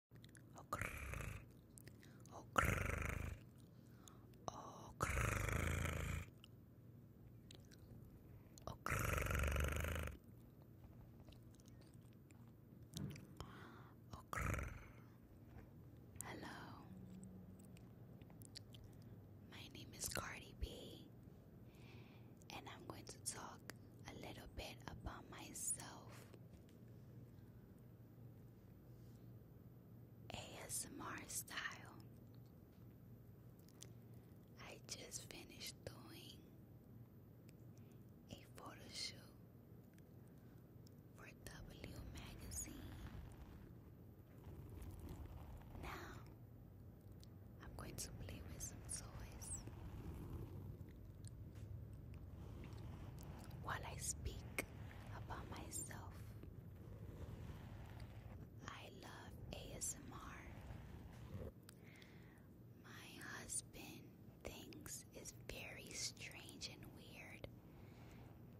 Hello, my name is Cardi B, and I'm going to talk a little bit about myself ASMR style. I just finished doing a photo shoot for W Magazine. Now I'm going to play with some toys. While I speak about myself, I love ASMR. My husband thinks it's very strange and weird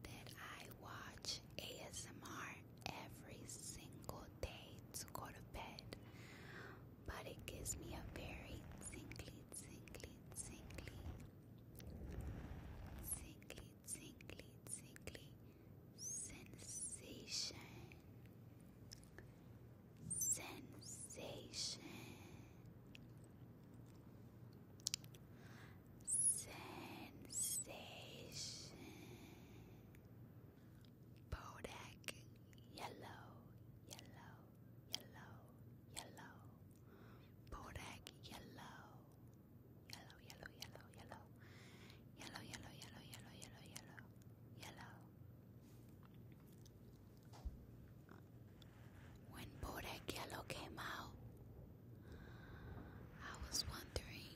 that I watch ASMR every single day to go to bed but it gives me a very tingly, tingly, tingly, tingly, tingly, tingly sensation. Sensation. Sensation. Bodak yellow, yellow, yellow, yellow. Bodak yellow. Yellow, yellow, yellow, yellow. Yellow, yellow, yellow, yellow, yellow, When Bodak Yellow came out, I was wondering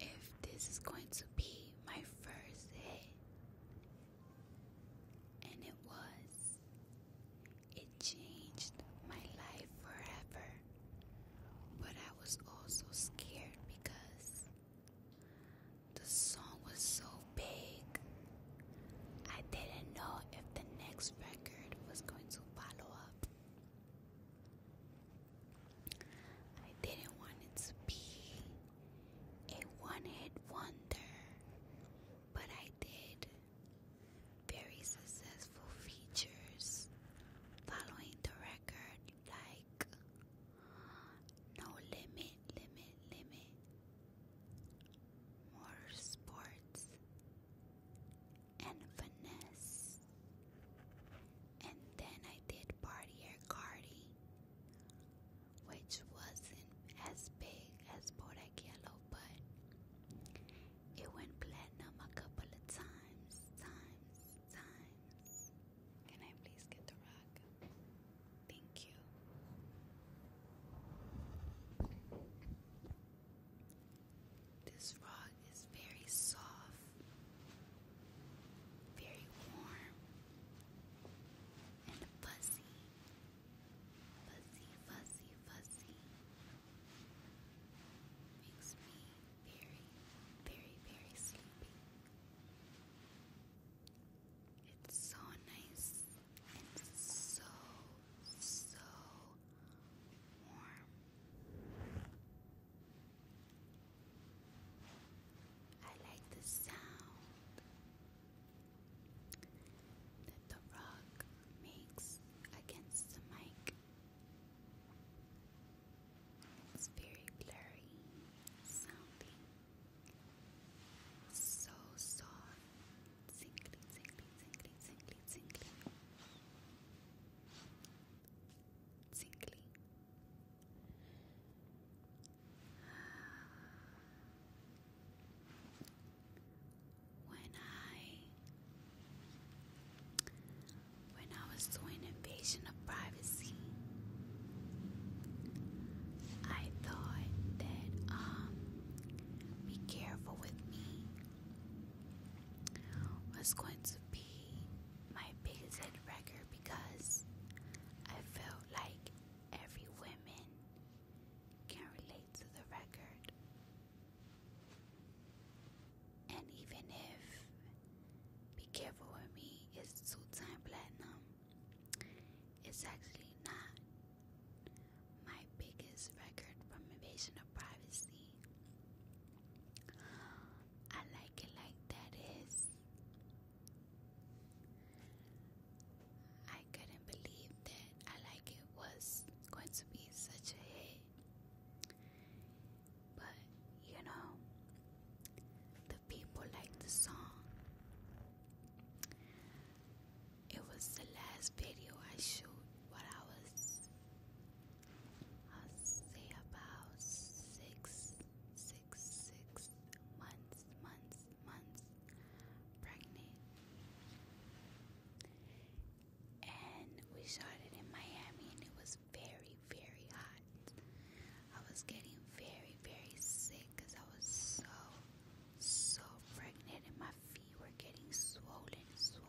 if this is going to be my first hit. And it was. It changed my life forever. But I was also scared because the song was so big. I didn't know if the next record was going to follow up. I didn't want it to be a one hit wonder, but I did. Very successful features following the record, like No Limit, Limit, Limit, more sports and Finesse. And then I did Party Air Cardi, which wasn't as big as Bodak Yellow, but it went platinum a couple of times, times, times. Can I please get the rock? Thank you. This rock it's very soft, very warm, and fuzzy. Fuzzy, fuzzy, fuzzy. Makes me very, very, very sleepy. It's so nice and so, so warm. I like the sound that the rock makes against the mic. It's very blurry sounding. So soft. Singly, singly, singly, singly, singly tingly. When I when I was doing invasion of privacy, I thought that um be careful with me was going to be my biggest record because I felt like every woman can relate to the record. And even if Be Careful With Me is two time platinum, it's actually not my biggest record from Invasion of Privacy. I like it like that is. I couldn't believe that I like it was going to be such a hit. But you know, the people liked the song. It was the last video I shoot while I was I'll say about six, six, six months, months, months pregnant. And we shot it in Miami, and it was very, very hot. I was getting very, very sick because I was so, so pregnant, and my feet were getting swollen, swollen.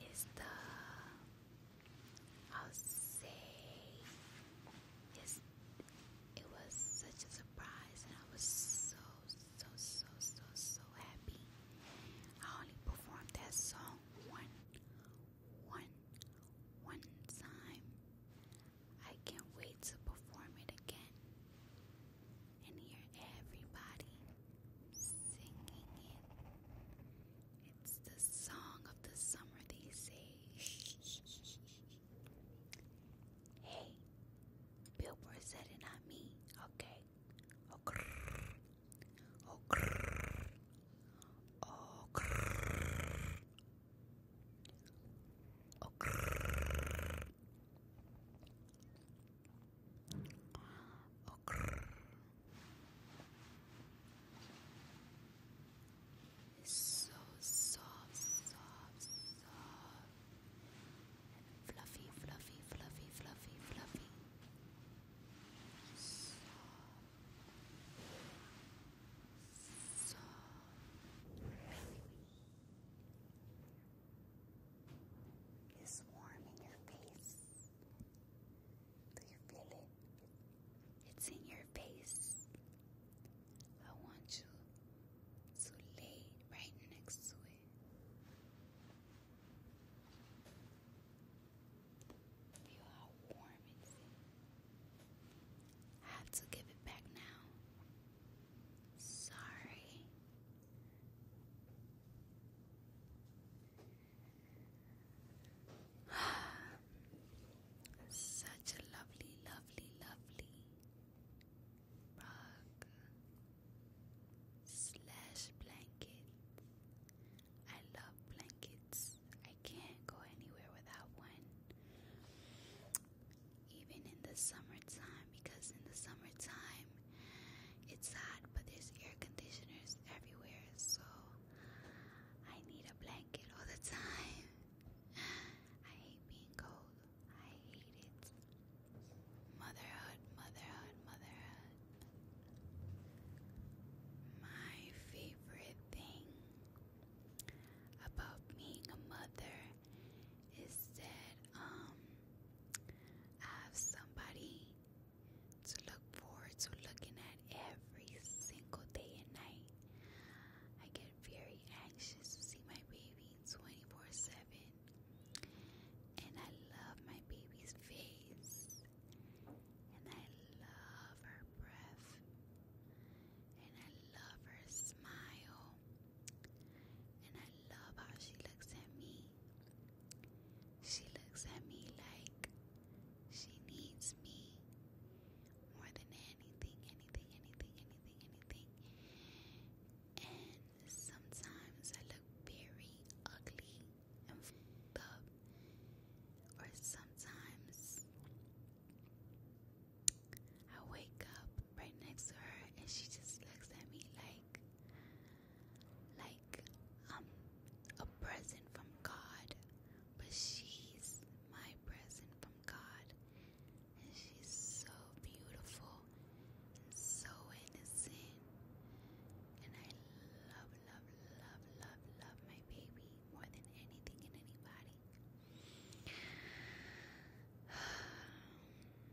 it's the I'll say it was such a surprise and I was so so so so so happy. I only performed that song one one one time. I can't wait to perform it again and hear everybody singing it. It's the song of the summer, they say. hey, Billboard said it, not me. Okay. Oh, grrr. Okr. It's so soft, soft, soft. And fluffy, fluffy, fluffy, fluffy, fluffy. Soft. Soft is warm in your face. Do you feel it? It's in your face. I want you to lay right next to it. Feel how warm it is. I have to give it back now. Sorry. Such a lovely, lovely, lovely rug slash blanket. I love blankets. I can't go anywhere without one. Even in the summertime, because in the summertime it's hot, but there's air conditioners everywhere, so I need a blanket all the time. I hate being cold. I hate it. Motherhood, motherhood, motherhood. My favorite thing about being a mother is that um, have somebody to look forward to looking at every single day and night. I get very anxious to see my baby 24 7. And I love my baby's face. And I love her breath. And I love her smile. And I love how she looks at me. She looks at me like she needs me more than anything, anything, anything, anything, anything. And sometimes I look very ugly and fucked Or sometimes I wake up right next to her and she just looks at me like like i a present from God, but she's my present from God. And she's so beautiful and so innocent. And I love, love, love, love, love my baby more than anything and anybody.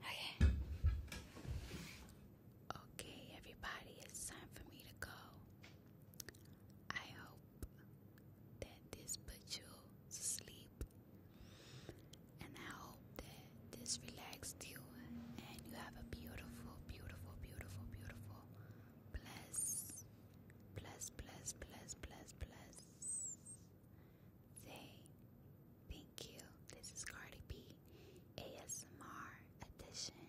Okay. Okay, everybody, it's time for me to go. I hope that this puts you to sleep. And I hope that this relaxed you and you have a beautiful, beautiful, beautiful, beautiful, bless, bless, bless, bless, bless, bless day. Thank you. This is Cardi B ASMR edition.